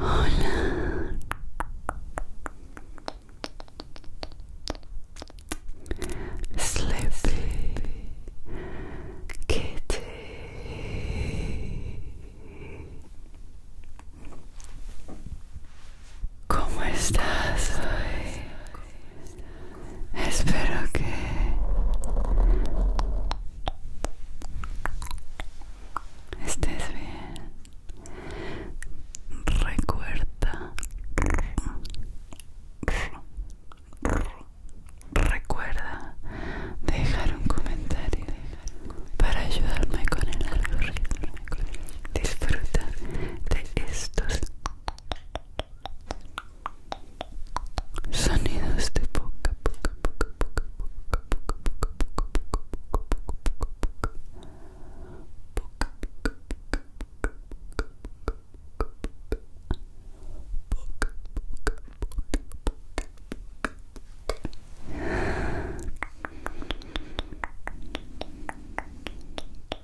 Hola. Sleepy Kitty. ¿Cómo estás hoy? Espero que estés bien. Recuerda. Recuerda dejar un comentario para ayudarme con el algoritmo. Disfruta de estos Sonidos de poca poca poca poca poca poca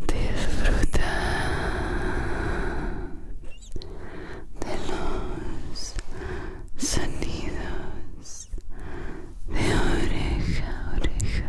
Disfruta de los sonidos de oreja oreja.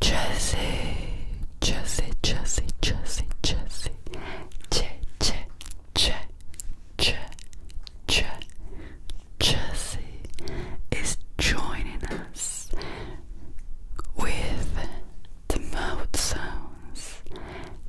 Jesse, Jersey, Jersey, Jersey, Jersey, J, J, J, J, J, Jersey is joining us with the mouth sounds.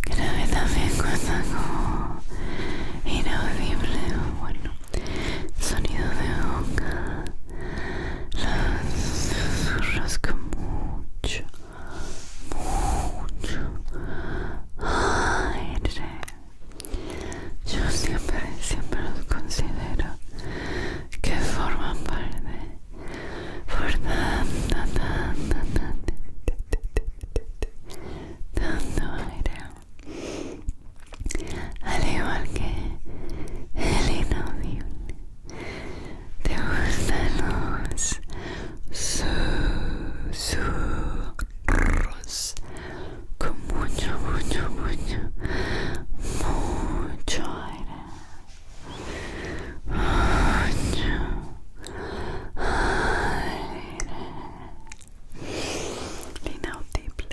Creo que también cuesta como inaudible bueno, sonido de boca, los susurros con mucho, mucho aire. Yo siempre, siempre los considero que forman parte por tanto, tanto, tanto, tanto aire. Al igual que el inaudible, te gustan los susurros con mucho, mucho, mucho, mucho aire. aire. Inaudible.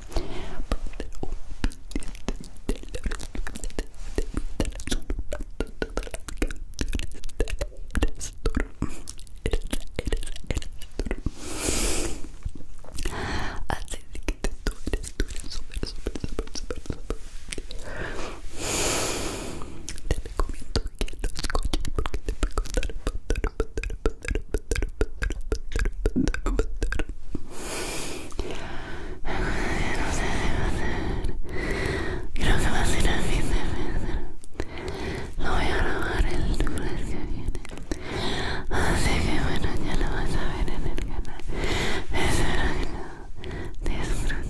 Así que tú eres, tú eres Te recomiendo que lo escuches porque te voy a no sé si va a ser. Creo que va a ser el fin de febrero. Lo voy a grabar el lunes que viene. Así que bueno, ya lo vas a ver en el canal. Espero que lo disfrutes.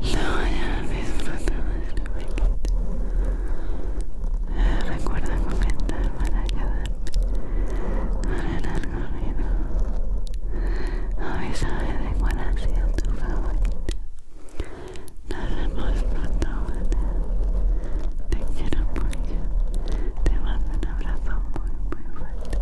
No hayas no recuerda comentar para ayudarme a el algoritmo. de cuál ha sido tu favorito nos vemos pronto, Te quiero mucho. Te mando un abrazo muy, muy fuerte.